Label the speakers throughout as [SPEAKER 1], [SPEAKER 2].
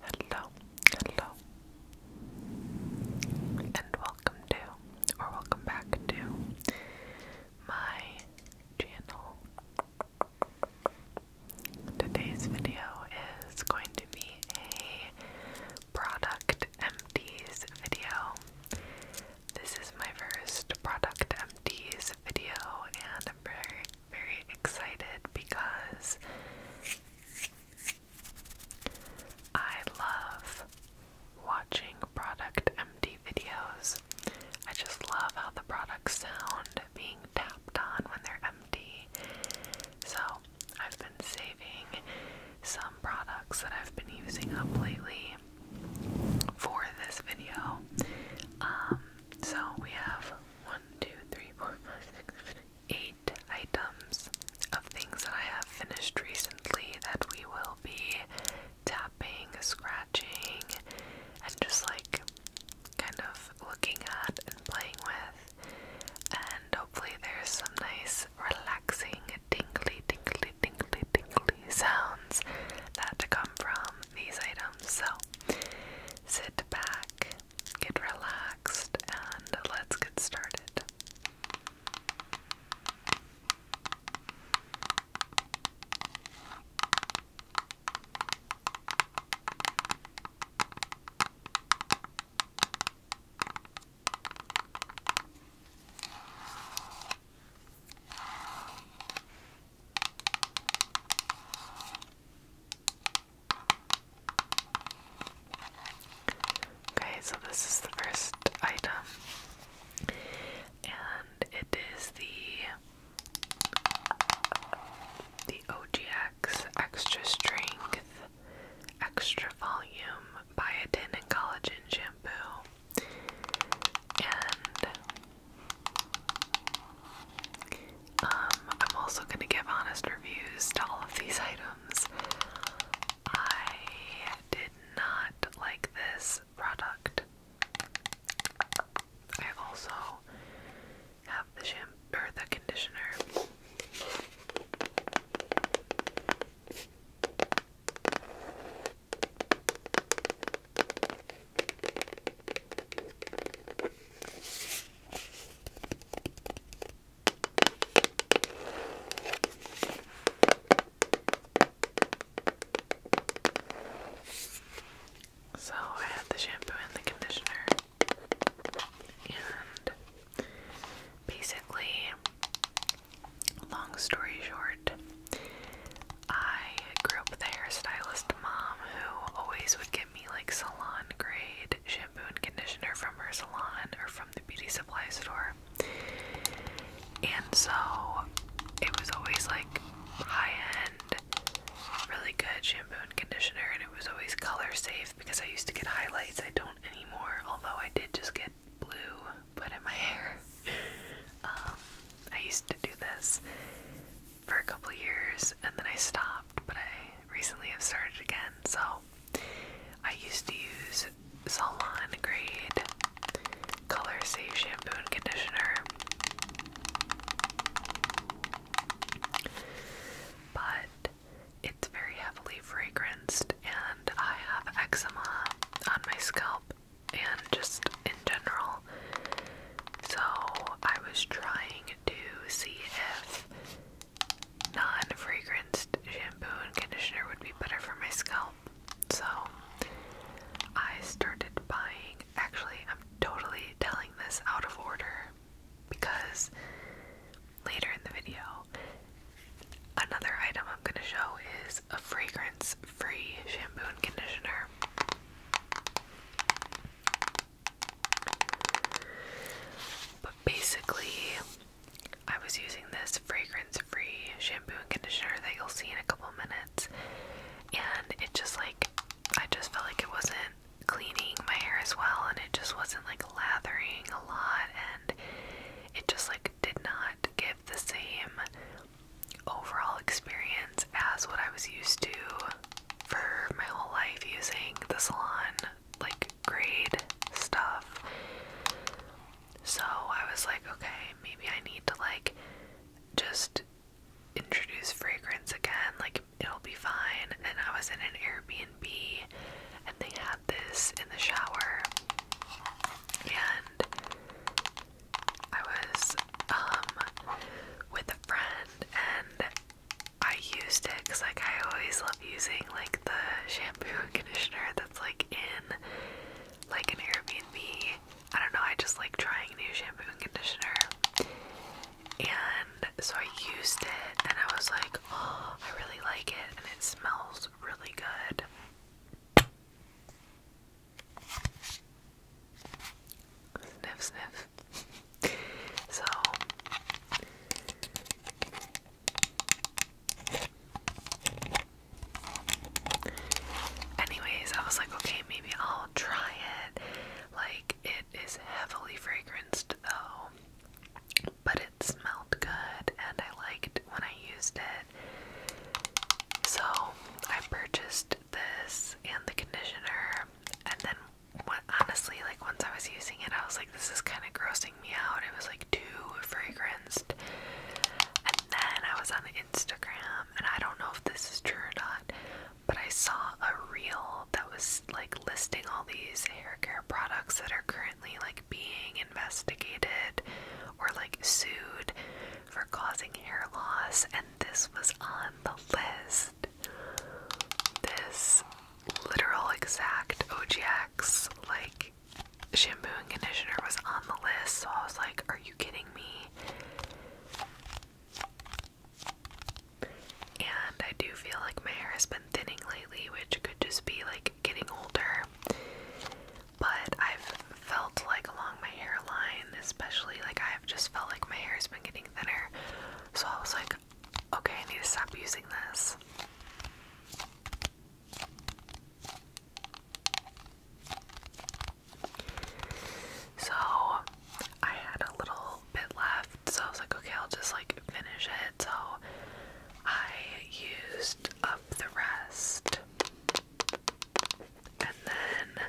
[SPEAKER 1] Hello, hello, and welcome to, or welcome back to, my channel. Today's video is going to be a product empties video. This is my first product empties video, and I'm very, very excited because I love watching product empty videos. I just love how the products sound being tapped on when they're empty. So I've been saving some products that I've been using up lately for this video. Um, so we have one, two, three, four, five, six, seven, eight items of things that I have finished recently that we will be tapping, scratching, and just like kind of looking at and playing with. And hopefully, there's some nice nice, relaxing, tingly, tingly, tingly, tingly sounds that come from these items. So sit back, get relaxed, and let's get started. Okay, so this is the first item, and it is the the OGX extra strength extra volume biotin and collagen shampoo. And um, I'm also going to give honest reviews to all of these items. I did not like this product. I also have the shampoo or the conditioner. So I have the shampoo and the conditioner, and basically Long story short, I grew up with a stylist mom who always would give me like salon grade shampoo and conditioner from her salon or from the beauty supply store. And so it was always like high end, really good shampoo and conditioner, and it was always color safe because I used to get highlights. I don't anymore, although I did just get blue put in my hair. Um, I used to do this for a couple years and then I stopped, but I recently have started again. So I used to use Salon Grade Color Safe Shampoo and Conditioner. But it's very heavily fragrant and I have eczema on my scalp and just in general. So I was trying to see if non-fragranced shampoo and conditioner would be better for my scalp. So I started buying, actually I'm totally telling this out of order because later in the video Another item I'm going to show is a fragrance free shampoo and conditioner. But basically, I was using this fragrance free shampoo and conditioner that you'll see in a couple minutes, and it just like I just felt like it wasn't cleaning my hair as well, and it just wasn't like lathering a lot, and it just like did not give the same overall experience as what I was used to for my whole life using the salon like grade stuff. So I was like, okay, maybe I need to like just introduce fragrance again, like it'll be fine. And I was in an Airbnb and they had this in the shower and I was um with a friend and I used it cuz like I always love using like the shampoo and conditioner that's like in like an Airbnb. I don't know, I just like trying new shampoo and conditioner. And so I used it and I was like, oh, I really like it and it smells really good. Sniff, sniff. so, anyways, I was like, okay, maybe I'll try it. Like, it is heavily fragranced though, but it smelled good, and I liked when I used it. So I purchased this and the conditioner, and then when, honestly, like once I was using it, I was like, this is kind of grossing me out. It was like too fragranced. And then I was on Instagram, and I don't know if this is true or not, but I saw a reel that was like listing all these hair care products that are currently like being investigated or like sued for causing hair loss, and this was on the list. This literal exact OGX like shampoo and conditioner was on the list, so I was like, Are you kidding me? And I do feel like my hair has been thinning lately, which could just be like getting older but I've felt like along my hairline, especially like I've just felt like my hair has been getting thinner. So I was like, okay, I need to stop using this. So I had a little bit left, so I was like, okay, I'll just like finish it. So I used up the rest. And then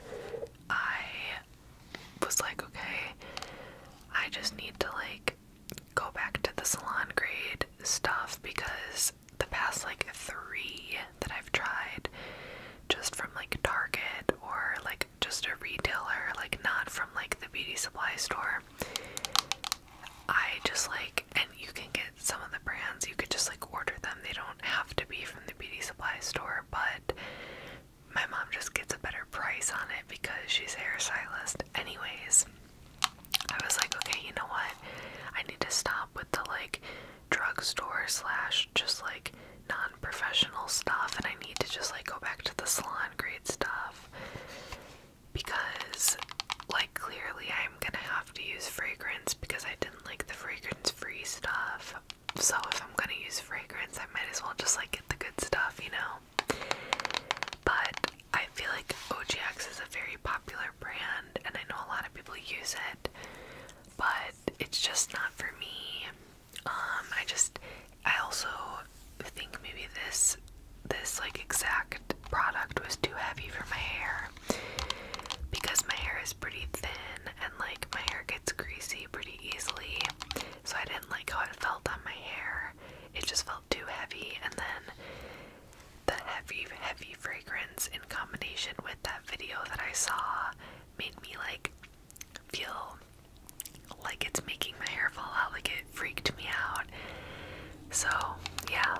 [SPEAKER 1] I was like, okay, I just need to like go back to the salon grade stuff because the past like three that I've tried just from like Target or like just a retailer, like not from like the beauty supply store, I just like and you can get some of the brands you could just like order them they don't have to be from the beauty supply store but my mom just gets a better price on it because she's a hairstylist anyways i was like okay you know what i need to stop with the like drugstore slash just like non-professional stuff and i need to just like go back to the salon grade stuff because like clearly i I'm gonna have to use fragrance because I didn't like the fragrance free stuff. So if I'm gonna use fragrance, I might as well just like get the good stuff, you know? But I feel like OGX is a very popular brand and I know a lot of people use it, but it's just not for me. Um, I just I also think maybe this this like exact product was too heavy for my hair because my hair is pretty thin and like my hair gets greasy pretty easily. So I didn't like how it felt on my hair. It just felt too heavy and then the heavy heavy fragrance in combination with that video that I saw made me like feel like it's making my hair fall out like it freaked me out. So, yeah.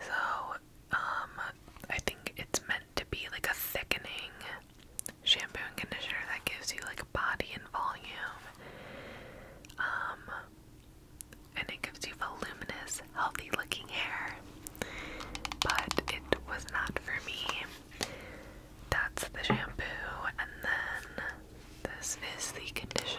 [SPEAKER 1] So, um, I think it's meant to be like a thickening shampoo and conditioner that gives you like body and volume. Um, and it gives you voluminous, healthy looking hair. But it was not for me. That's the shampoo, and then this is the conditioner.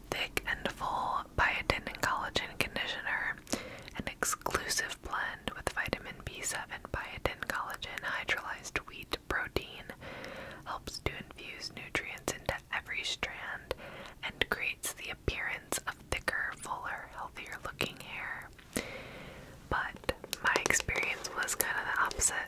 [SPEAKER 1] Thick and full biotin and collagen conditioner, an exclusive blend with vitamin B7, biotin, collagen, hydrolyzed wheat protein, helps to infuse nutrients into every strand and creates the appearance of thicker, fuller, healthier looking hair. But my experience was kind of the opposite.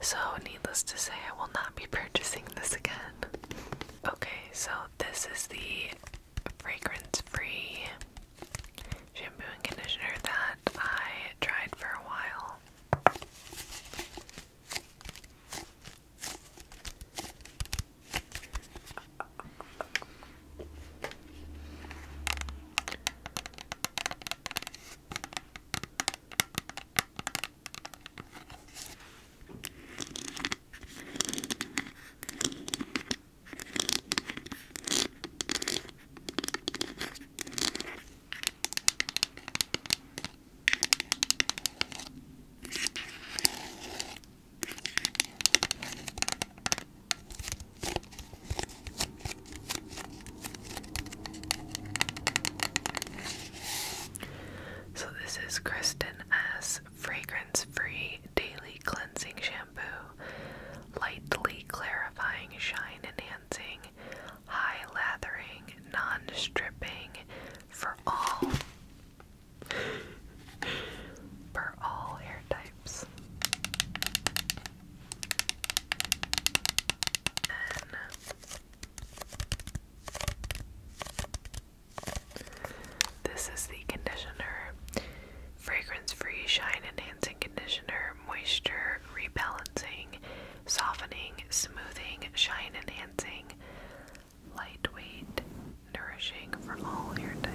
[SPEAKER 1] So, needless to say, I will not be purchasing this again. Okay, so this is the fragrance free shampoo and conditioner that I tried for a while. So, this is Kristen S. Fragrance Free Daily Cleansing Shampoo, Lightly Clarifying, Shine Enhancing, high lathering, non stripping for all for all hair types. this is the conditioner. Fragrance free, shine enhancing conditioner, moisture rebalancing, softening, smoothing, shine enhancing, lightweight, nourishing for all hair types.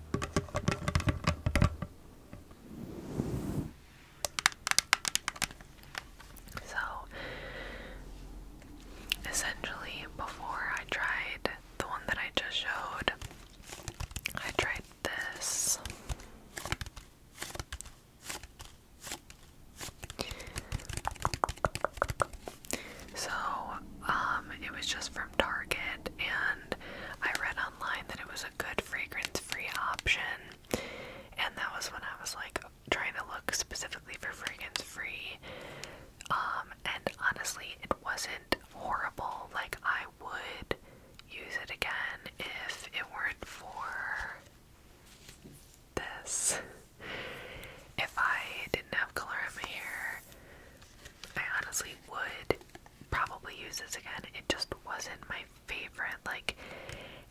[SPEAKER 1] So essentially, before I tried the one that I just showed, I tried this. So, um, it was just for Target, and I read online that it was a good fragrance free option. And that was when I was like trying to look specifically for fragrance free. Um, and honestly, it wasn't horrible. Like, I would use it again if it weren't for this. If I didn't have color in my hair, I honestly would probably use this again. It just wasn't my favorite. Like,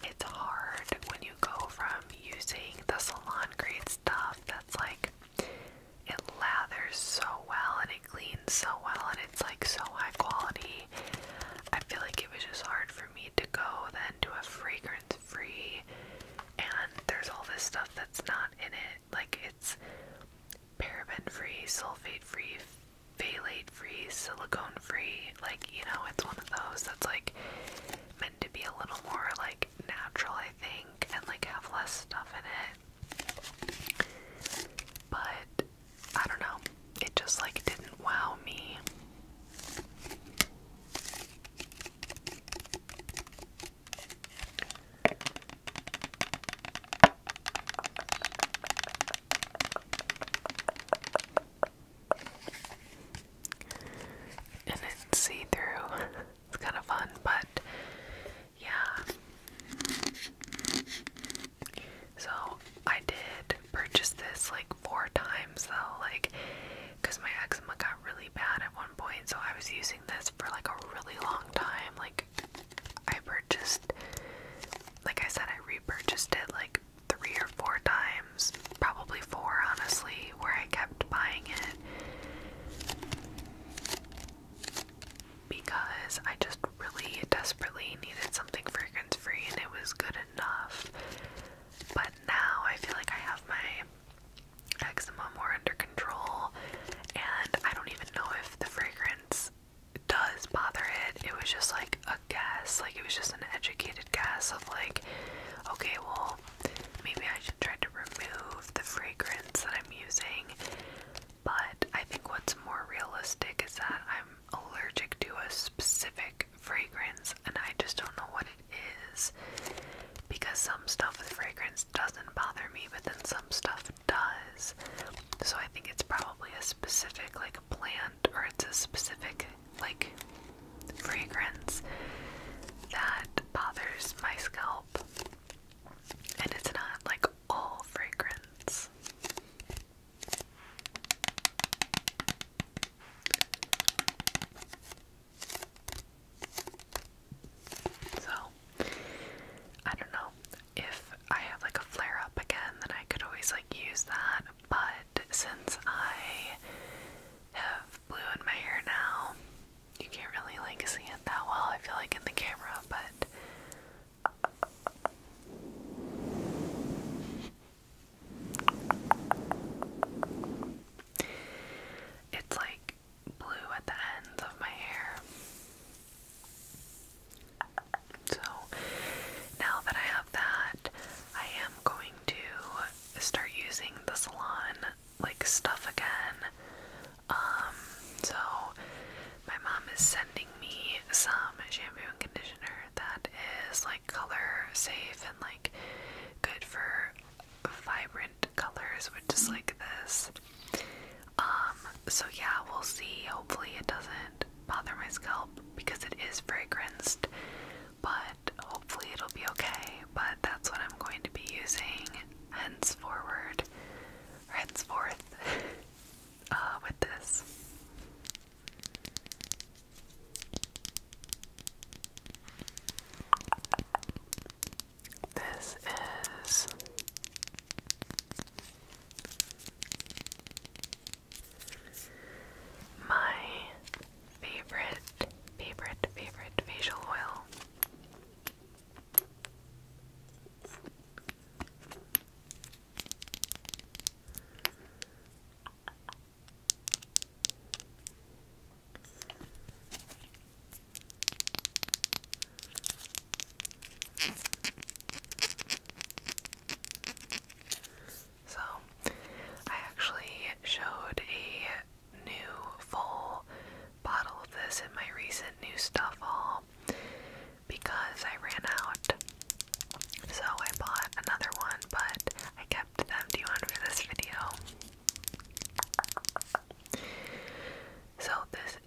[SPEAKER 1] it's hard when you go from using the salon grade stuff that's like it lathers so well and it cleans so well and it's like so high quality. I feel like it was just hard for me to go then to a fragrance free and there's all this stuff that's not in it like it's paraben free, sulfate free, phthalate free, silicone free. Like, you know, it's one of those that's like meant to be a little more like natural, I think, and like have less stuff in it. But I don't know. It just like didn't wow me. And it's see through. it's kind of fun, but yeah. So I did purchase this like four times though, like, because my eczema got really bad at one point, so I was using this for like a really long time, like I purchased like I said I repurchased it like three or four times, probably four honestly, where I kept buying it because I just really desperately needed something fragrance free and it was good enough. But now I feel like I have my eczema more under control and I don't even know if the fragrance does bother it. It was just like a guess, like it was just an educated guess of like, okay, well, maybe I should try to remove the fragrance that I'm using. But I think what's more realistic is that I'm allergic to a specific fragrance and I just don't know what it is. Because some stuff with fragrance doesn't bother me, but then some stuff does. So I think it's probably a specific like plant or it's a specific like fragrance that bothers my scalp. And it's not like all fragrance. So, I don't know if I have like a flare up again, then I could always like use that. But since I have blue in my hair now, you can't really like see it that well, I feel like in the camera, but. It's like blue at the ends of my hair. So now that I have that, I am going to start using the salon like stuff again. Um, so my mom is sending me some shampoo and conditioner that is like color safe and like good for vibrant colors, which is like this. Um, so yeah, we'll see. Hopefully it doesn't bother my scalp because it is fragranced, but hopefully it'll be okay. But that's what I'm going to be using henceforward, henceforth, uh, with this. This is my favorite, favorite, favorite facial oil so, I actually showed a new full bottle of this in my recent new stuff haul because I ran out. So, I bought another one, but I kept an empty one for this video. So, this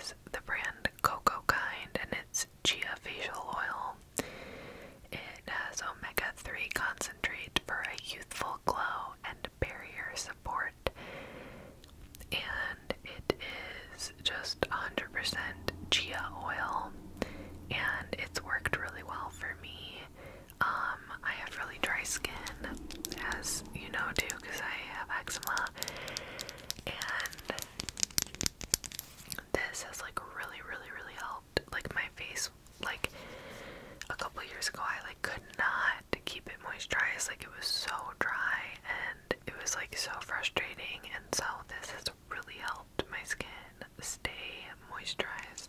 [SPEAKER 1] is the brand cocoa kind and it's chia facial oil. It has omega 3 concentrate for a youthful glow and barrier support. And it is just 100% chia oil and it's worked really well for me. Um, I have really dry skin, as you know, too, because I have eczema. And this has like really, really, really helped. Like my face, like a couple years ago, I like could not keep it moisturized. Like it was so dry and it was like so frustrating. And so this has really helped my skin stay moisturized.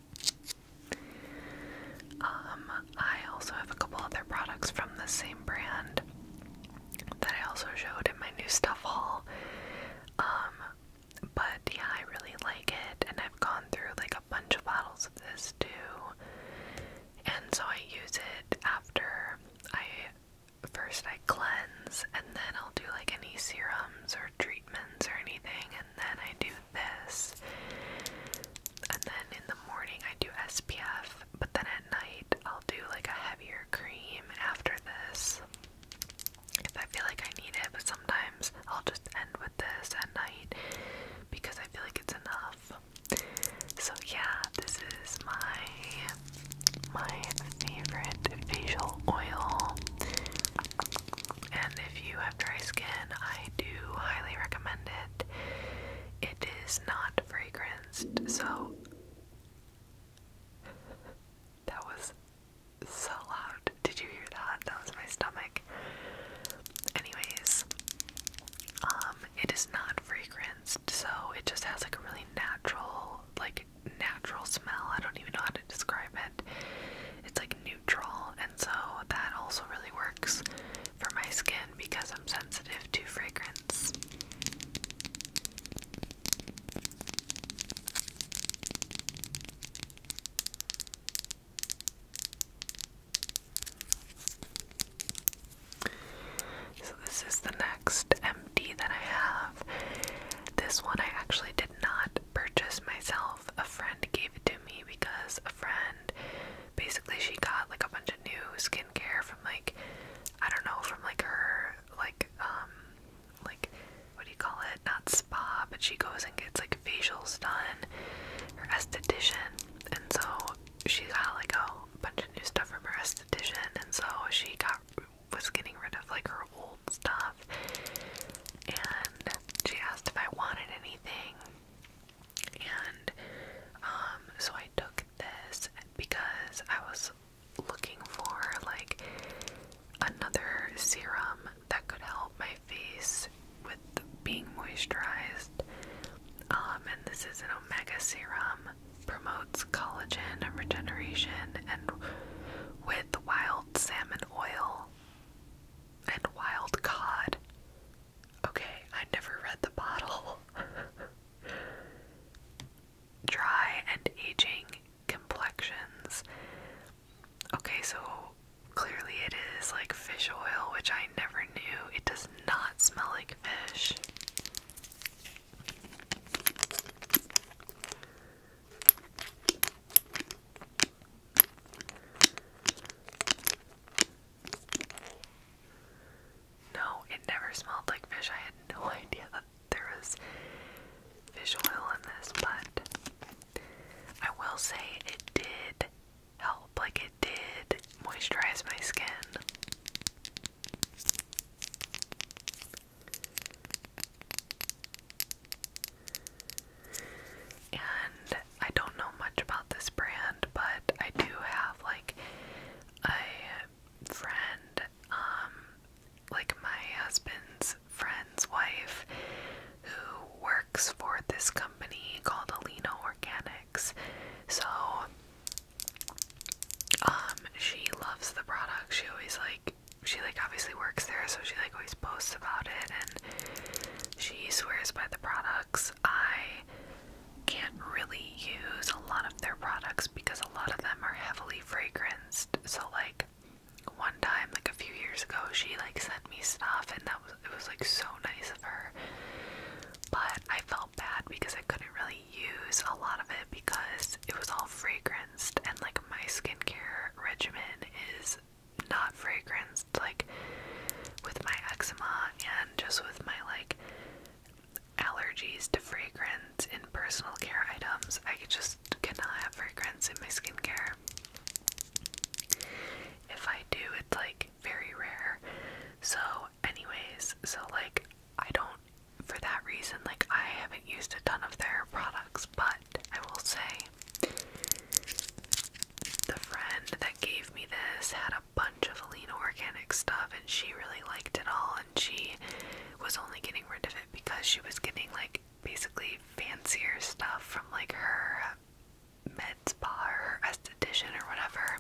[SPEAKER 1] Um, I also have a couple other products from the same brand that I also showed in my new stuff haul. Um, but yeah, I really like it, and I've gone through like a bunch of bottles of this too. And so I use it after I first I cleanse, and then I'll do like any serums or treatments or anything, and then I do this and then in the morning I do SPF, but then at night I'll do like a heavier cream after this if I feel like I need it, but sometimes I'll just end with this at night because I feel like it's enough. So yeah, this is my my favorite facial oil. And if you have dry skin, I do highly recommend it. It is not fragranced, so that was so loud. Did you hear that? That was my stomach. Anyways, um, it is not fragranced, so it just has like a really natural, like natural smell. I don't even know how to describe it. It's like neutral, and so that also really works for my skin because I'm sensitive to fragrance. So, this is the next empty that I have. This one I actually did not purchase myself. A friend gave it to me because a friend basically she got like a bunch of new skincare from like I don't know from like her like um like what do you call it? Not spa, but she goes and gets like facials done, her esthetician, and so she got like a bunch of new stuff from her esthetician, and so she got was getting rid of like her old stuff, and she asked if I wanted anything, and um, so I took this because I was looking for like another serum that could help my face with being moisturized. Um, and this is an omega serum promotes collagen regeneration and with wild salmon oil and wild cod Okay, I never read the bottle. Dry and aging complexions. Okay, so clearly it is like fish oil, which I never knew. It does not smell like fish. No, it never smelled like fish. I had no idea that there was fish oil in this, but I will say it did help. Like, it did moisturize my skin. And I don't know much about this brand, but I do have like a friend, um, like my husband's friend's wife, who works for this company called Alina Organics. So, um, she loves the products. She always like she like obviously works there, so she like always posts about it, and she swears by the products I can't really use a lot of their products because a lot of them are heavily fragranced. So like one time, like a few years ago, she like sent me stuff and that was it was like so nice of her. But I felt bad because I couldn't really use a lot of it because it was all fragranced and like my skincare regimen is not fragranced like with my eczema and just with my like allergies to fragrance in personal care items, I just cannot have fragrance in my skincare. If I do, it's like very rare. So, anyways, so like I don't, for that reason, like I haven't used a ton of their products, but I will say the friend that gave me this had a bunch of Alina organic stuff and she really liked it all and she was only getting rid of it because she was getting like basically fancier stuff from like her med spa or her esthetician or whatever.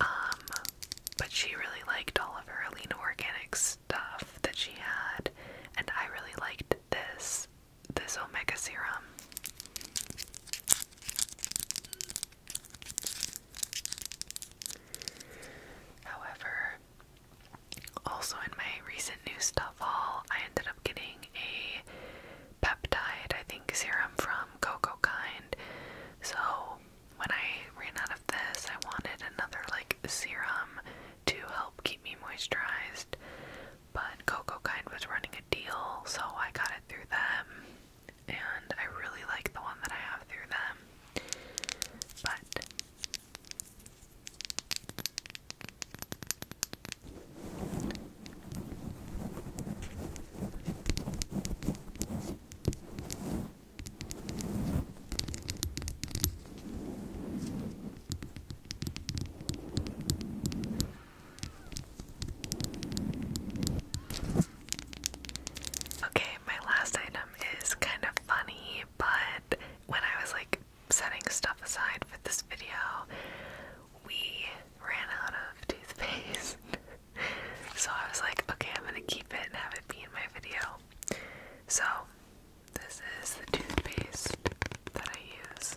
[SPEAKER 1] Um, but she really liked all of her Alina organic stuff that she had and I really liked this this omega serum. However, also in my recent new stuff haul, I ended up getting a peptide, I think, serum from Coco Kind. So when I ran out of this, I wanted another like serum to help keep me moisturized. But Coco Kind was running a deal, so I got it through them and I really like the one that I have through them. But Okay, my last item is kind of funny, but when I was like setting stuff aside for this video, we ran out of toothpaste. so I was like, okay, I'm gonna keep it and have it be in my video. So, this is the toothpaste that I use.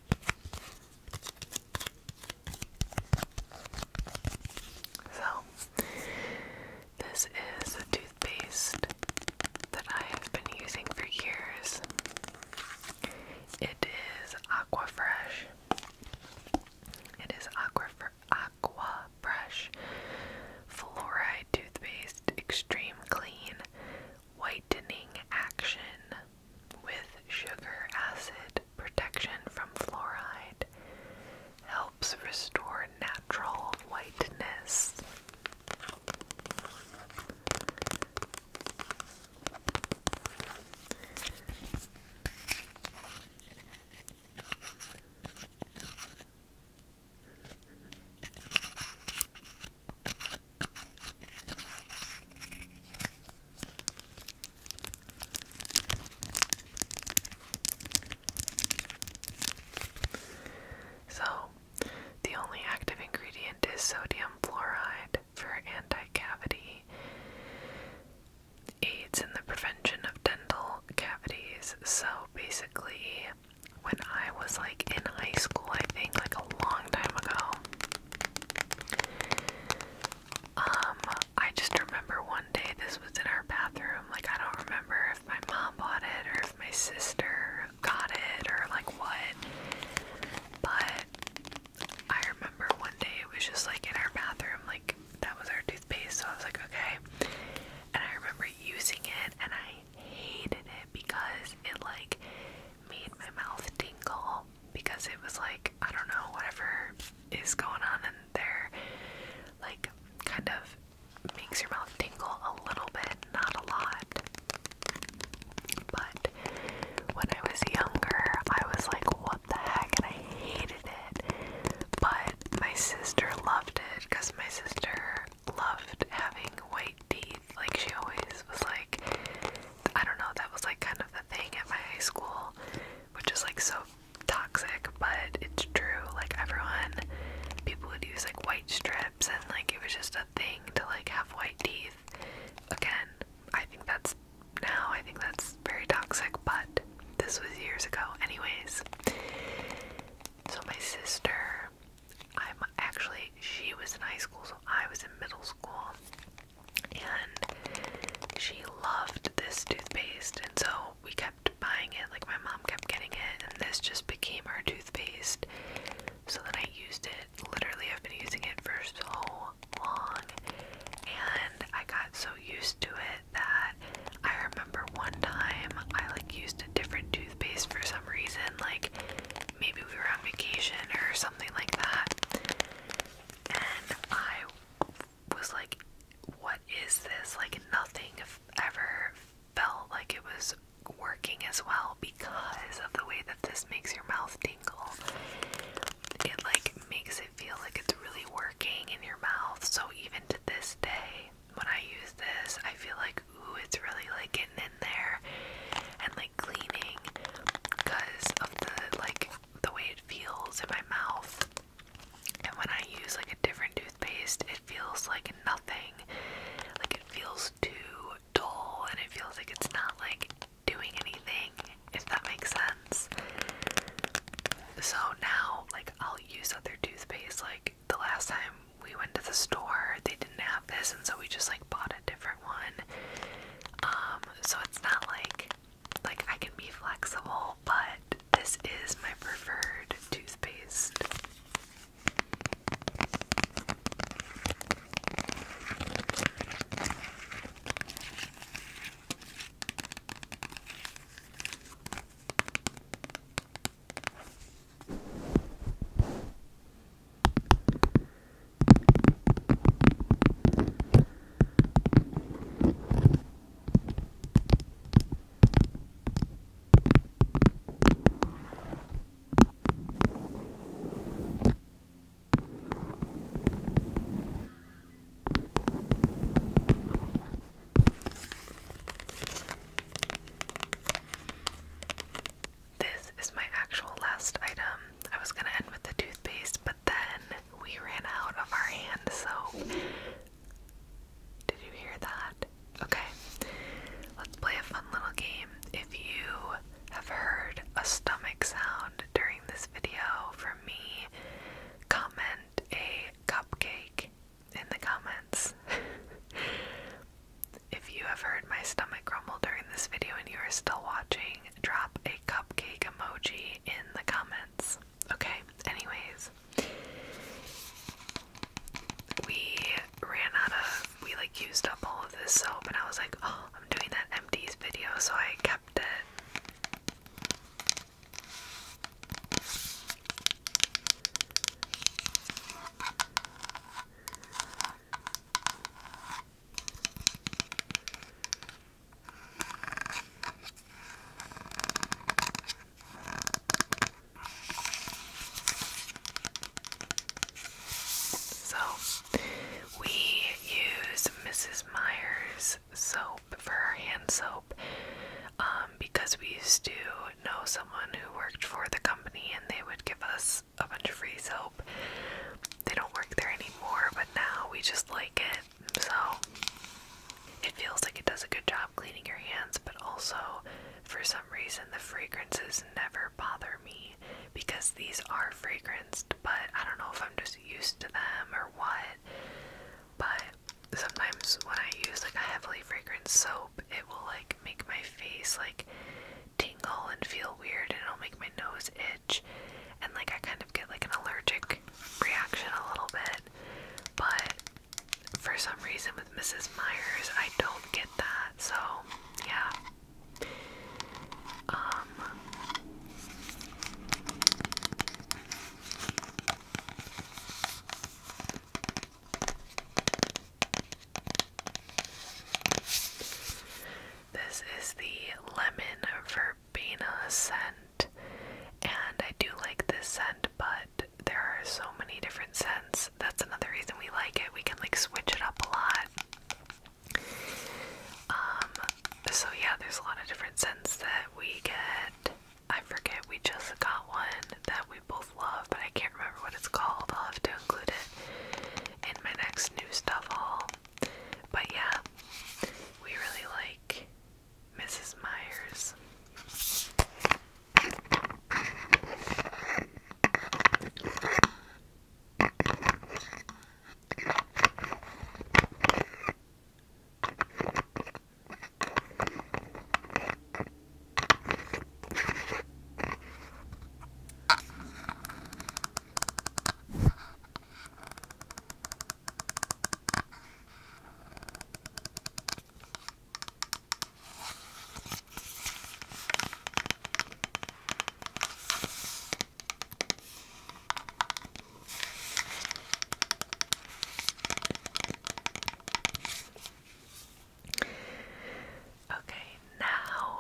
[SPEAKER 1] So, this is a toothpaste that I have been using for years. It is Aqua Fresh. It is Aqua for Aqua Fresh Fluoride Toothpaste Extreme Clean Whitening Action with sugar acid protection from fluoride helps restore natural whiteness. So, the only active ingredient is sodium fluoride for anti-cavity aids in the prevention of dental cavities. So basically, when I was like in high school, I think like a long time ago, um, I just remember one day this was in our bathroom. Like, I don't remember if my mom bought it or if my sister got it or like what. But I remember one day it was just like in our bathroom, like that was our toothpaste. So I was like, okay. And I remember using it and I hated it because it like made my mouth tingle because it was like, I don't know, whatever is going on in there, like, kind of makes your mouth tingle a little bit, not a lot. But when I was younger, I was like, what the heck? And I hated it. But my sister loved it because my sister loved having white teeth. Like, she always was like, I don't know, that was like kind of the thing at my high school, which is like so toxic, but it's true. Like everyone, people would use like white strips, and like it was just a thing to like have white teeth. Again, I think that's now, I think that's very toxic, but this was years ago, anyways. So, my sister, I'm actually, she was in high school, so I was in middle school and she loved this toothpaste and so we kept buying it like my mom kept getting it and this just became our toothpaste so then I used it literally I've been using it for so long and I got so used to it that I remember one time I like used a different toothpaste for some reason like maybe we were on vacation or something like that and I was like, what is this? Like, nothing ever felt like it was working as well because of the way that this makes your mouth tingle. It like makes it feel like it's really working in your mouth. So even to this day, when I use this, I feel like ooh, it's really like getting in there and cleaning because of the like the way it feels in my mouth. And when I use like a different toothpaste, it feels like nothing. Like it feels too dull and it feels like it's not like doing anything, if that makes sense. So now, like, I'll use other toothpaste. Like, the last time we went to the store, they didn't have this, and so we just like bought a different one. Um, so it's not like like I can be flexible, but this is my preferred toothpaste. This is my actual last item. I was going to end with the toothpaste, but then we ran out of our hand So, Did you hear that? Okay, let's play a fun little game. If you have heard a stomach sound during this video from me, comment a cupcake in the comments. if you have heard my stomach rumble during this video and you are still watching, drop a cupcake emoji in the comments. Okay, anyways. We ran out of we like used up all of this soap and I was like, oh, I'm doing that empties video, so I kept it. So, we use Mrs. Meyer's soap for our hand soap um, because we used to know someone who worked for the company and they would give us a bunch of free soap. They don't work there anymore, but now we just like it. So it feels like it does a good job cleaning your hands, but also for some reason the fragrances never bother me because these are fragranced, but I don't know if I'm just used to them or what. But sometimes when I use like a heavily fragranced soap, it will like make my face like tingle and feel weird and it'll make my nose itch and like I kind of of get like an allergic reaction a little bit, but for some reason with Mrs. Myers, I don't get that. So, yeah. Um This is the lemon vermouth verbena scent, and I do like this scent, but there are so many different scents. That's another reason we like it. We can like switch it up a lot. Um, so yeah, there's a lot of different scents that we get. I forget, we just got one that we both love, but I can't remember what it's called. I'll have to include it in my next new stuff haul. But yeah, we really like Mrs. Myers. Okay, now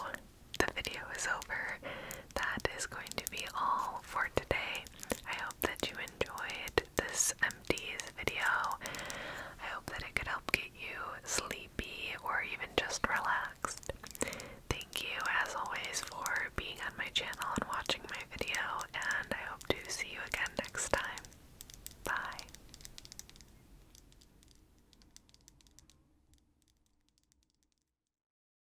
[SPEAKER 1] the video is over that is going to be all for today. I hope that you enjoyed this empties video. I hope that it could help get you sleepy or even just relaxed. Thank you, as always, for being on my channel and watching my video, and I hope to see you again next time. Bye.